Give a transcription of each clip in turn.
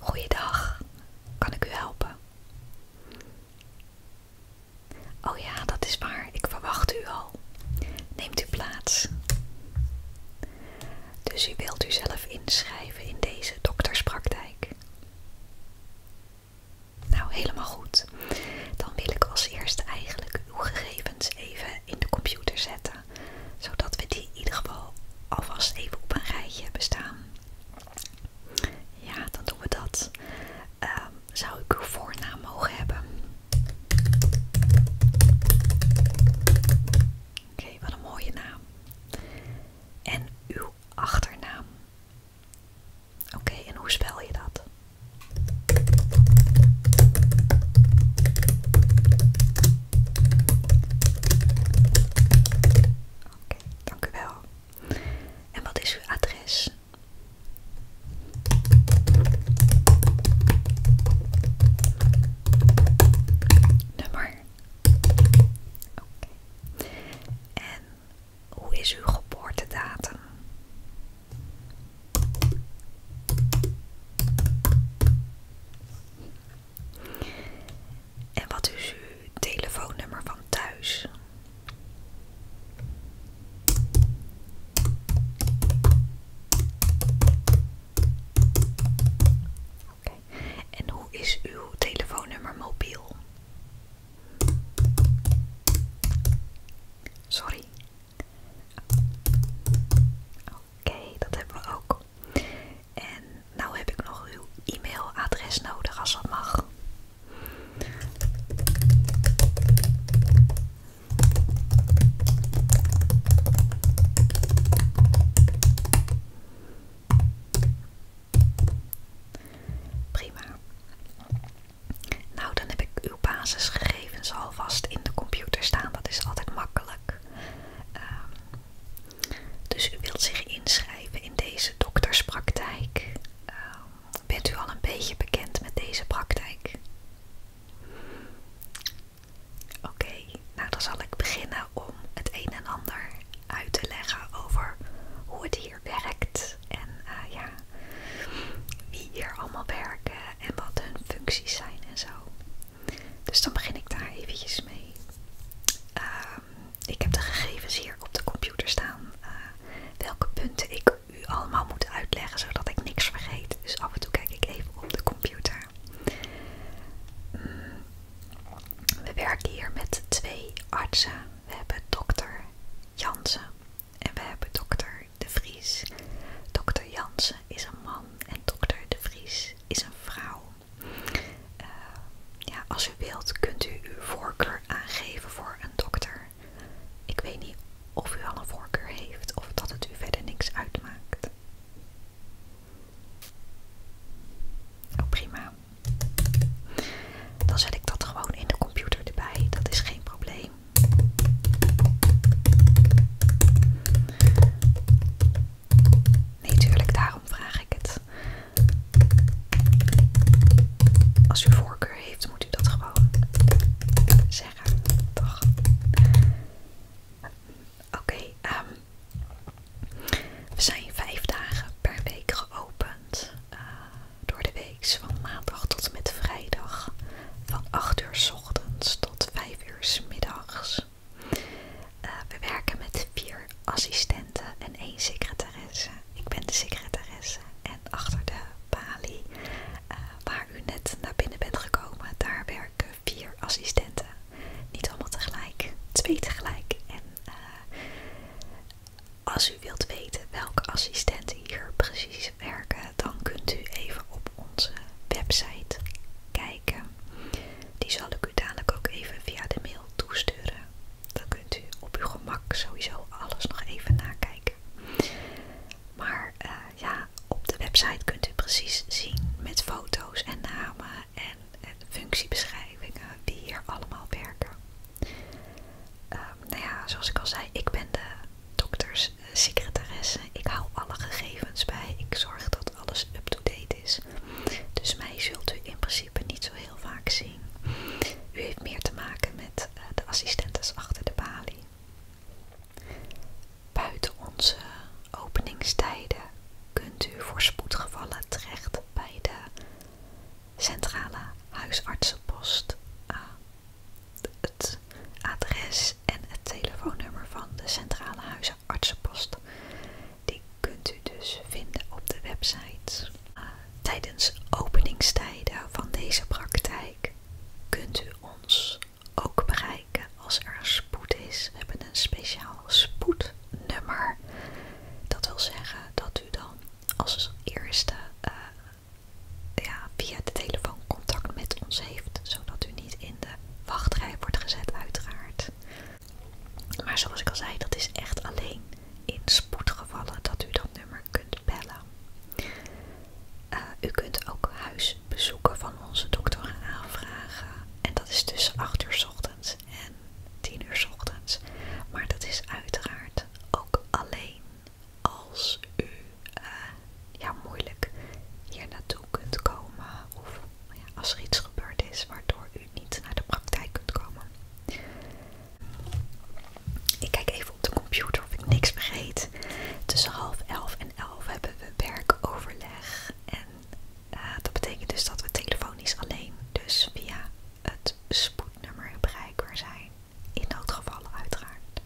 Goeiedag, kan ik u helpen? Oh ja, dat is waar, ik verwacht u al. Neemt u plaats. Dus u wilt u zelf inschrijven in deze dokterspraktijk? Nou, helemaal goed. Dan wil ik als eerste eigenlijk uw gegevens even in de computer zetten. Zodat we die in ieder geval alvast even op een rijtje hebben staan. Ja, dan doen we dat. Ehm, zou ik uw voornaam mogen hebben? Oké, wat een mooie naam. En uw achternaam. Oké, en hoe spel je dat? Oké, dank u wel. En wat is uw adres? Nummer. Oké. En hoe is uw geboortedatum? En wat is uw telefoonnummer van thuis? En hoe is uw telefoonnummer mobiel? Sorry. Oké, dat hebben we ook. En nou heb ik nog uw e-mailadres nodig als dat mag. Prima. Nou, dan heb ik uw basisgegevens alvast in de computer staan. Dat is altijd makkelijk. Ehm, dus u wilt zich inschrijven in deze dokterspraktijk. Ehm, bent u al een beetje bekend met deze praktijk? Oké, nou dan zal ik beginnen om het een en ander uit te leggen over hoe het hier werkt en eh, ja, wie hier allemaal werken en wat hun functies zijn en zo. Dus dan begin ik daar eventjes mee. Ehm, ik heb de gegevens hier op de computer staan. Eh, welke punten ik u allemaal moet uitleggen, zodat ik niks vergeet. Dus af en toe kijk ik even op de computer. Mm, we werken hier met twee artsen. We hebben dokter Jansen en we hebben dokter de Vries. Dr. Jansen is een man en dokter de Vries is een vrouw. Eh, ja, als u wilt kunt u uw voorkeur aangeven voor een dokter. Ik weet niet of u al een voorkeur heeft of dat het u verder niks uitmaakt. Oh, prima. Dan zet ik dat gewoon in de computer erbij. Dat is geen probleem. Nee, tuurlijk, daarom vraag ik het. Als u voorkeur heeft, moet u dat gewoon zeggen, Oké, ehm, we zijn vijf dagen per week geopend. Eh, door de week, dus van maandag tot en met vrijdag. Van 8 uur s ochtends tot 5 s middags. Eh, we werken met vier assistenten en één secretaresse. Ik ben de secretaresse en achter de balie eh, waar u net naar binnen bent gekomen, daar werken vier assistenten. Niet allemaal tegelijk, twee tegelijk. En eh, als u wilt weten welke assistenten hier precies werken, eh, dan kunt u even op onze website kijken. Die zal ik u dadelijk ook even via de mail toesturen. Dan kunt u op uw gemak sowieso alles nog even nakijken. Maar eh, ja, op de website kunt u precies zien met foto's en namen en, functiebeschrijvingen die hier allemaal werken. Ehm, nou ja, zoals ik al zei, ik ben de dokters, eh, secretaresse. Ik hou alle gegevens bij. Ik zorg dat alles up-to-date is. Dus mij zult u in principe niet zo heel vaak zien. U heeft meer te maken met eh, de assistentes achter de balie. Buiten onze openingstijden kunt u voor spoedgevallen terecht bij de centrale huisartsenpost. Eh, het adres en het telefoonnummer van de Centrale huizenartsenpost Die kunt u dus vinden op de website. Eh, tijdens openingstijden van deze praktijk kunt u ons ook bereiken als er spoed is. We hebben een speciaal spoednummer. Dat wil zeggen dat u dan als eerste eh, ja, via de telefoon contact met ons heeft, zodat u niet in de wachtrij wordt gezet uiteraard. Maar zoals ik al zei, dat is echt alleen in spoedgevallen dat u dat nummer kunt bellen. Eh, u kunt ook huisbezoeken van onze dokter aanvragen. En dat is tussen 8 uur s ochtends en 10 uur s ochtends. Maar dat is uiteraard ook alleen als u eh, ja, moeilijk hier naartoe kunt komen of nou als er iets gebeurd is waardoor u niet naar de praktijk kunt komen. Ik kijk even op de computer of ik niks vergeet. Tussen half elf en elf hebben we werkoverleg. En eh, dat betekent dus dat we telefonisch alleen, dus via het spoednummer bereikbaar zijn. In dat noodgevallen uiteraard.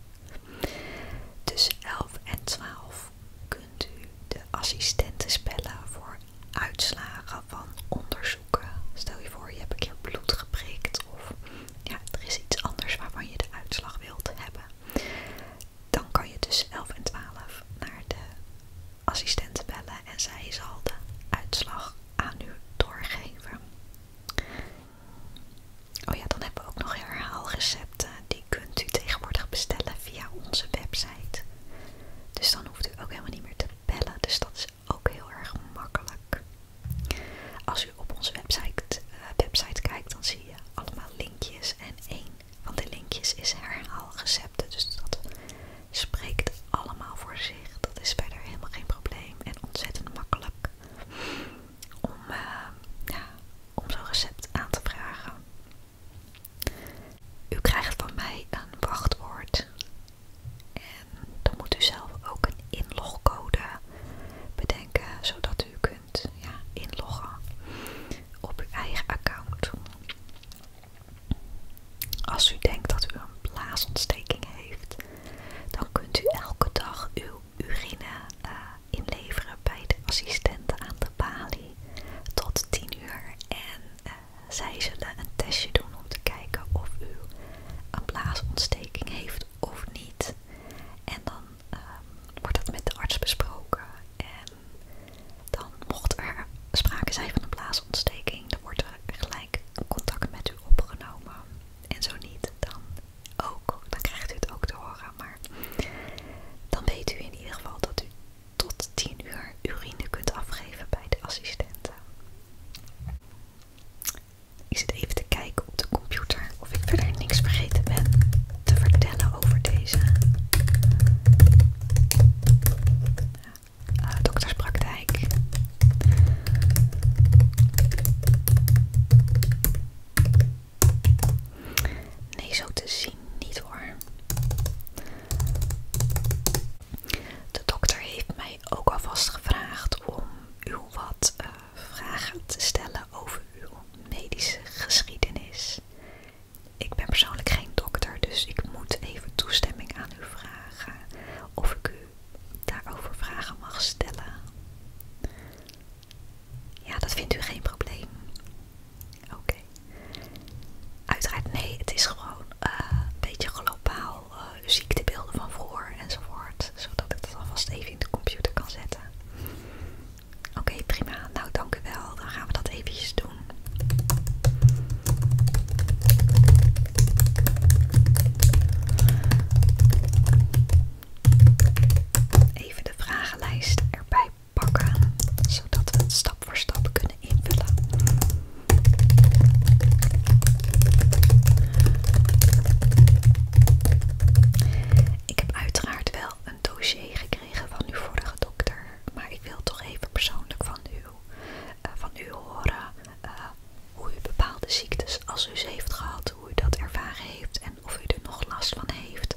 Tussen 11 en 12 kunt u de assistenten spellen voor uitslagen van onderzoeken. Stel je voor, je hebt een bloed geprikt of er is iets anders waarvan je de uitslag wilt hebben. Dan kan je dus 11 en 12 naar de assistent bellen en zij zal de uitslag aan u doorgeven. Oh ja, dan hebben we ook nog herhaalrecepten. Die kunt u tegenwoordig bestellen via onze website. Dus dan hoeft u ook helemaal niet meer te bellen. Dus dat is ook heel erg makkelijk. Als u op onze website, eh, website kijkt, dan zie je allemaal linkjes. En één van de linkjes is herhaalrecepten. Dus dat spreekt allemaal voor zich. Dat is verder helemaal geen probleem en ontzettend makkelijk. Eh, om, zo'n recept aan te vragen. U krijgt van mij een wachtwoord en dan moet u zelf ook een inlogcode bedenken zodat u kunt inloggen op uw eigen account. Als u denkt dat u een blaasontsteking heeft, dan kunt u elke dag uw urine eh, inleveren bij de assistenten aan de balie tot 10 uur. En eh, zij zullen een testje doen om te kijken of u een blaasontsteking heeft of niet. En dan ehm, wordt dat met de arts besproken. En dan mocht er sprake zijn van een blaasontsteking, dan wordt er gelijk contact met u opgenomen. En zo niet, dan ook, dan krijgt u het ook te horen. Maar dan weet u in ieder geval dat u tot 10 uur urine kunt afgeven bij de assistenten. Ik zit even te kijken op de computer of ik verder niks vergeten ben te vertellen over deze eh, dokterspraktijk. Nee, zo te zien niet hoor. De dokter heeft mij ook alvast gevraagd om u wat eh, vragen te stellen over uw medische geschiedenis. Ik ben persoonlijk geen dokter, dus ik moet even toestemming aan u vragen of ik u daarover vragen mag stellen. Ja, dat vindt u geen probleem. Oké. Uiteraard, nee, het is gewoon eh, een beetje globaal eh, ziektebeelden van vroeger enzovoort. Zodat ik dat alvast even in de computer kan zetten. Oké, prima. Nou, dank u wel. Dan gaan we dat eventjes doen even de vragenlijst erbij pakken, zodat we het stap voor stap kunnen invullen. Ik heb uiteraard wel een dossier gekregen van uw vorige dokter, maar ik wil toch even persoonlijk van u, eh, van u horen. Eh, hoe u bepaalde ziektes, als u ze heeft gehad, hoe u dat ervaren heeft en of u er nog last van heeft.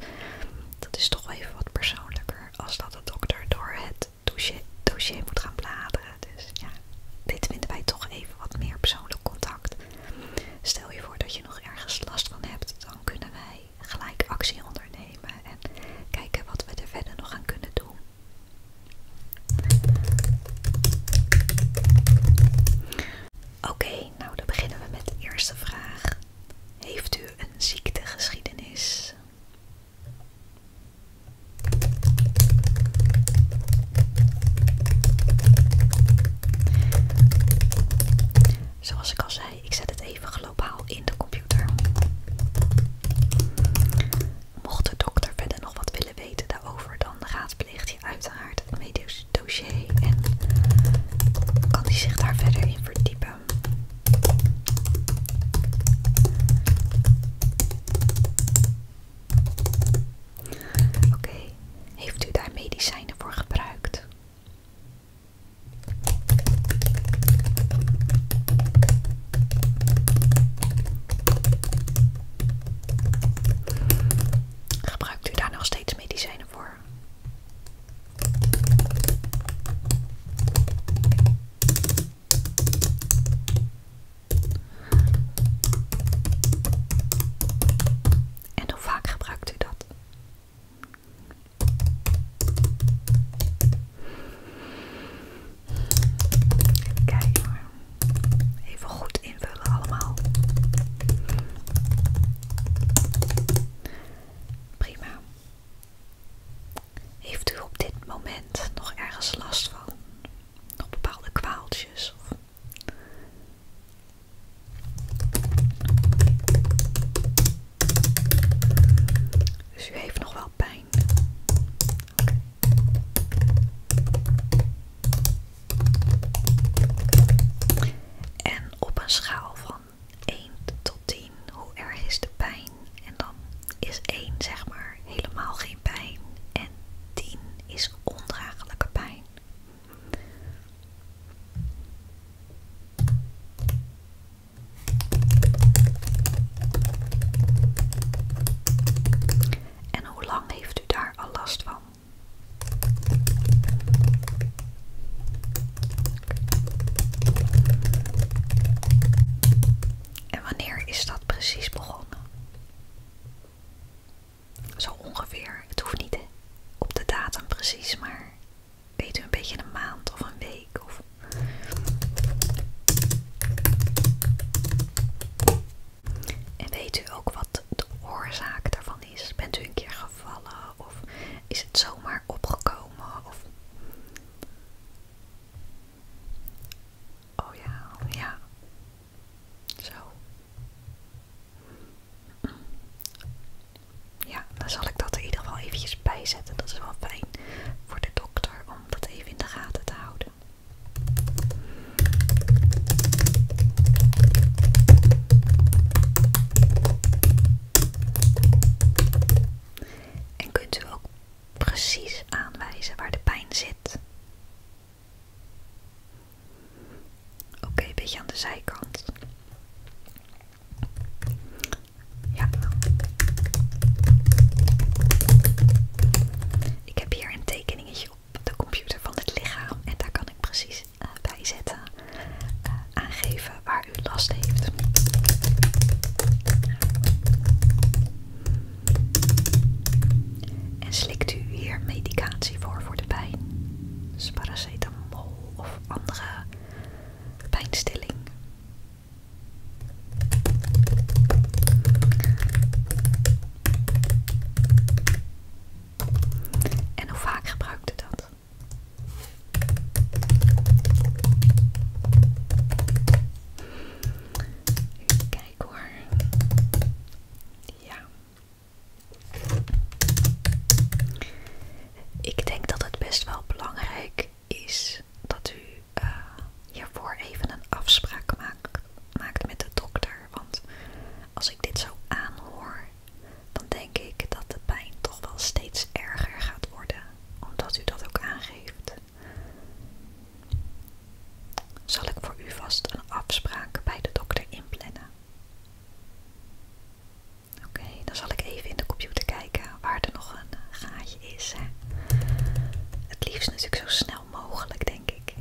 Dat is toch even wat persoonlijker als dat de dokter door het dossier moet gaan bladeren. Dus ja, dit vinden wij toch even wat meer persoonlijk contact. Stel je voor dat je nog ergens last van hebt, dan kunnen wij gelijk actie ondernemen en kijken wat we er verder nog aan kunnen doen. Oké, nou dan beginnen we met de eerste vraag. Heeft u een ziektegeschiedenis? Zoals ik al zei, ik zet het even globaal in de computer. Mocht de dokter verder nog wat willen weten daarover, dan gaat raadpleegt uiteraard het medisch dossier en kan hij zich daar verder in verdiepen. Oké, heeft u daar medicijnen voor gebruikt? Gebruikt u daar nog steeds medicijnen voor? En hoe vaak gebruikt u dat? even goed invullen allemaal. Prima. Heeft u op dit moment nog ergens last van? Nog bepaalde kwaaltjes? Dus u heeft nog wel pijn. En op een schaal van 1 tot 10, hoe erg is de pijn? En dan is 1 zeg maar helemaal geen pijn en 10 is ondraaglijke pijn. En hoe lang heeft u daar al last van? En wanneer is dat precies begonnen? Zo ongeveer. Het hoeft niet op de datum precies, maar weet u een beetje een maand of een week of. En weet u ook wat de oorzaak daarvan is? Bent u een keer gevallen of is het zomaar opgekomen? Of... Oh ja, oh ja. Zo. Ja, dan zal ik dat er in ieder geval eventjes bijzetten. Dat is wel fijn voor de dokter om dat even in de gaten te houden. En kunt u ook precies aanwijzen waar de pijn zit? Oké, een beetje aan de zijkant. Ja. Ik heb hier een tekeningetje op de computer van het lichaam en daar kan ik precies eh, bij zetten, eh, aangeven waar u last heeft. En slikt u hier medicatie voor voor de pijn? Dus paracetamol of andere pijnstilling? En hoe vaak gebruikte dat? Kijk hoor. Ja. Ik denk dat het best wel belangrijk is dat u je eh, hiervoor even een afspraak maakt met de dokter. Want als ik dit zo aanhoor, dan denk ik dat de pijn toch wel steeds erger gaat worden. Omdat u dat ook aangeeft. Zal ik voor u vast een afspraak bij de dokter inplannen? Oké, dan zal ik even in de computer kijken waar er nog een gaatje is. Het liefst natuurlijk zo snel mogelijk, denk ik.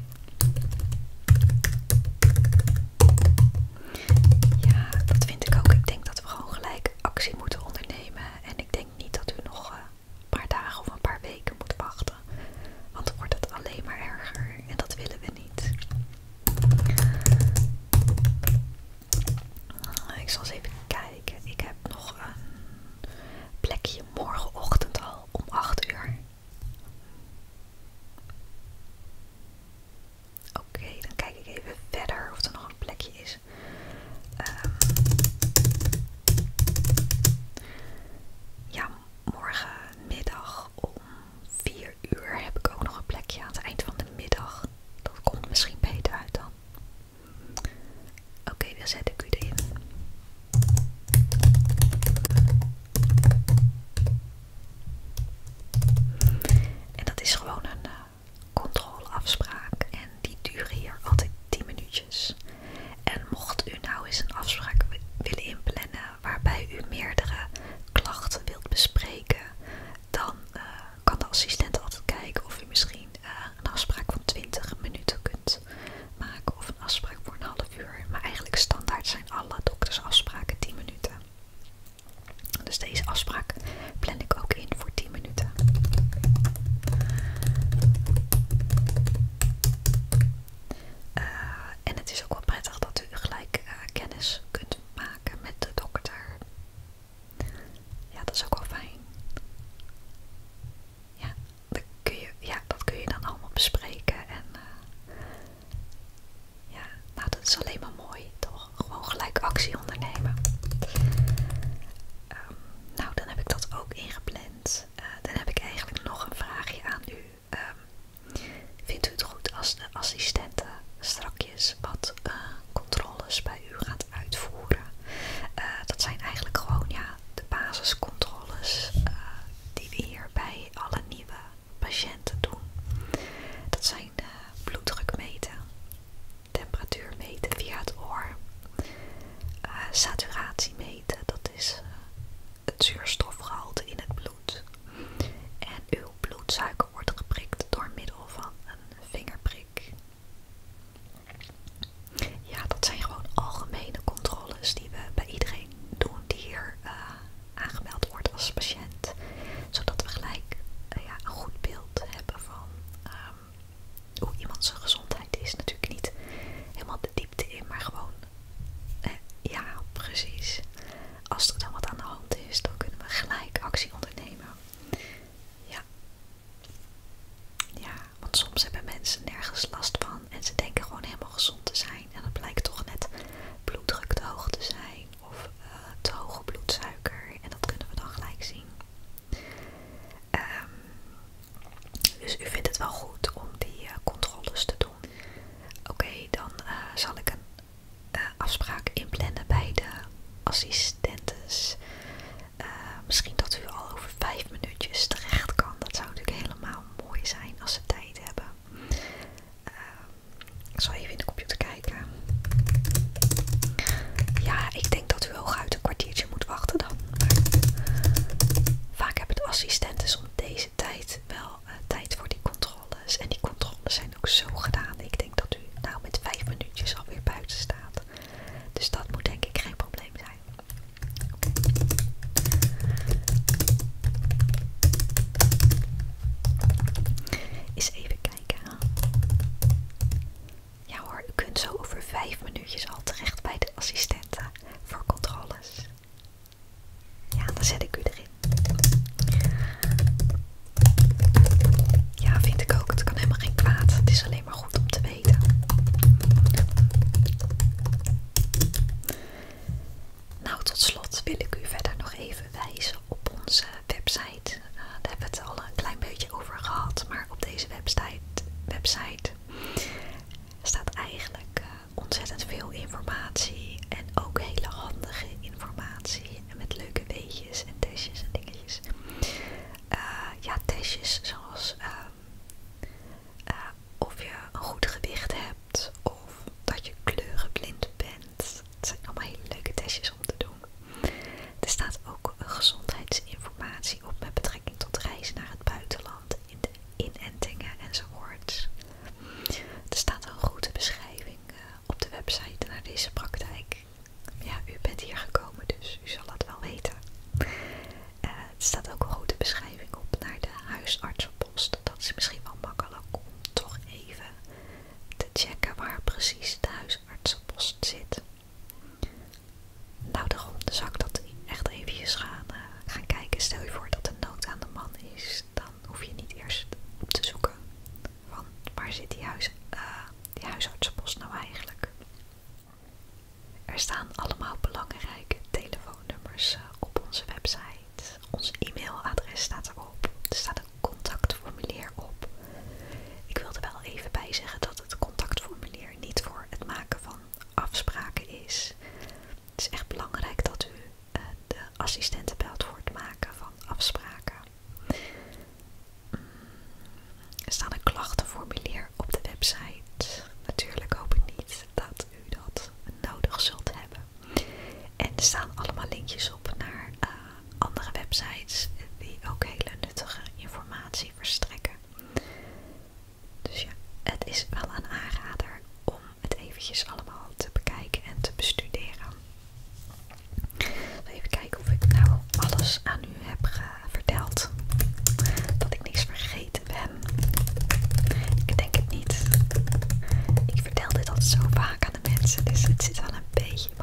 Ja, dat vind ik ook. Ik denk dat we gewoon gelijk actie moeten ondernemen. En ik denk niet dat u nog eh, een paar dagen of een paar weken moet wachten. Want dan wordt het alleen maar erger. En dat willen we niet. Ik zal eens even kijken. Ik heb nog een plekje morgenochtend al om 8 uur. Oké, dan kijk ik even verder of er nog een plekje is. Ehm, ja, morgenmiddag om 4 uur heb ik ook nog een plekje aan het eind van de middag. Dat komt misschien beter uit dan. Oké, dan zet ik u erin. En dat is gewoon een eh, controleafspraak. En die duurt hier altijd 10 minuutjes. En mocht u nou eens een afspraak willen inplannen waarbij u meerdere klachten wilt bespreken, dan eh, kan de assistent altijd kijken of u misschien eh, een afspraak van 20 minuten kunt maken of een afspraak voor een half uur. Maar eigenlijk standaard zijn alle doktersafspraken 10 minuten. Dus deze afspraak plan ik ook in voor 10 minuten. Eh, en het is ook wel prettig dat u gelijk eh, kennis kunt maken met de dokter. Ja, dat is ook wel fijn ja, dat kun je, ja, dat kun je dan allemaal bespreken. En eh, ja, nou, dat is alleen maar mooi, toch? Gewoon gelijk actie ondernemen. Ehm, nou, dan heb ik dat ook ingepland. Eh, dan heb ik eigenlijk nog een vraagje aan u. Ehm, vindt u het goed als de assistenten strakjes wat eh, controles bij u gaat uitvoeren? Eh, dat zijn eigenlijk gewoon ja, de basiscontroles eh, die we hier bij alle nieuwe patiënten doen. Dat zijn eh, bloeddruk meten, temperatuur meten via het oor, saturatie meten, dat is het zuurstofgehalte in het bloed. En uw bloedsuiker wordt geprikt door middel van een vingerprik. Ja, dat zijn gewoon algemene controles die we bij iedereen doen die hier eh, aangemeld wordt als patiënt. Zodat we gelijk eh, ja, een goed beeld hebben van ehm, hoe iemand zijn gezondheid is. Natuurlijk niet helemaal de diepte in, maar gewoon, eh, ja, precies. Als er dan wat aan de hand is, dan kunnen we gelijk actie ondernemen. Ja. Ja, want soms hebben mensen nergens last van en ze denken gewoon helemaal gezond te zijn. En dat blijkt toch net bloeddruk te hoog te zijn of eh, te hoge bloedsuiker. En dat kunnen we dan gelijk zien. Ehm dus u vindt het wel goed om die eh, controles te doen. Oké, dan eh, zal ik een afspraak inplannen bij de assistentes. Eh, misschien dat u al over vijf minuutjes terecht kan. Dat zou natuurlijk helemaal mooi zijn als ze tijd hebben. Eh, ik zal even in de computer kijken. Ja, ik denk dat u uit een kwartiertje moet wachten dan. Maar vaak hebben de assistenten om deze tijd wel eh, tijd voor die controles. En die controles zijn ook zo gedaan. Ik denk dat u nou met vijf minuutjes alweer buiten staat. Dus dat moet denk ik geen probleem zijn. Eens even kijken. Ja hoor, u kunt zo over vijf minuutjes al terecht bij de assistenten voor controles. Ja, dan zet ik u erin. Ja, vind ik ook. Het kan helemaal geen kwaad. Het is alleen maar goed om te weten. Nou, tot slot wil ik u verder nog even wijzen op onze website. Eh, daar hebben we het al een klein beetje over gehad, maar op deze website, staat eigenlijk eh, ontzettend veel informatie en ook hele handige informatie met leuke weetjes en testjes en dingetjes. Eh, ja, testjes zoals ehm, eh, of je een goed gewicht hebt of dat je kleurenblind bent. Het zijn allemaal hele leuke testjes om te doen. Er staat ook gezondheidsinformatie op met betrekking tot reizen naar het buitenland, in de inentingen enzovoort. Er staat een goede beschrijving eh, op de website naar deze praktijk. Ja, u bent hier gekomen, dus u zal dat wel weten. Eh, er staat ook een grote beschrijving op naar de huisartsenpost. Dat is misschien wel makkelijk om toch even te checken waar precies de huisartsenpost zit. Nou, daarom dus zou ik dat echt eventjes gaan, eh, gaan kijken. Stel je voor dat de nood aan de man is, dan hoef je niet eerst op te zoeken. Want waar zit die, eh, die huisartsenpost nou eigenlijk? Er staan allemaal belangrijke telefoonnummers eh, op onze website. Ons e-mailadres staat erop. Er staat een contactformulier op. Ik wil er wel even bij zeggen dat het contactformulier niet voor het maken van afspraken is. Het is echt belangrijk dat u eh, de assistenten belt voor het maken van afspraken. Er staat een klachtenformulier op de website. Natuurlijk hoop ik niet dat u dat nodig zult hebben. En er staan allemaal linkjes op naar eh, andere websites die ook hele nuttige informatie verstrekken. Dus ja, het is wel een aanrader om het eventjes allemaal te bekijken en te bestuderen. Even kijken of ik nou alles aan u heb eh, verteld. Dat ik niks vergeten ben. Ik denk het niet. Ik vertel dit al zo vaak aan de mensen, dus het zit wel een beetje in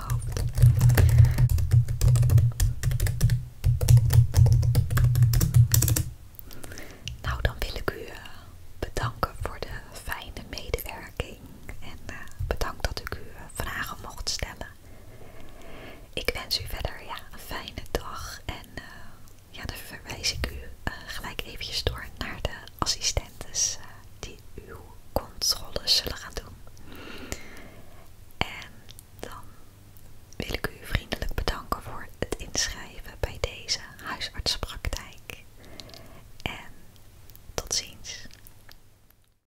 Nou, dan wil ik u eh, bedanken voor de fijne medewerking. En eh, bedankt dat ik u vragen mocht stellen. Ik wens u verder ja, een fijne dag en eh, ja, dan verwijs ik u eh, gelijk eventjes door naar de assistentes eh, die uw controles zullen gaan doen. En dan wil ik u vriendelijk bedanken voor het inschrijven bij deze huisartsenpraktijk. En tot ziens.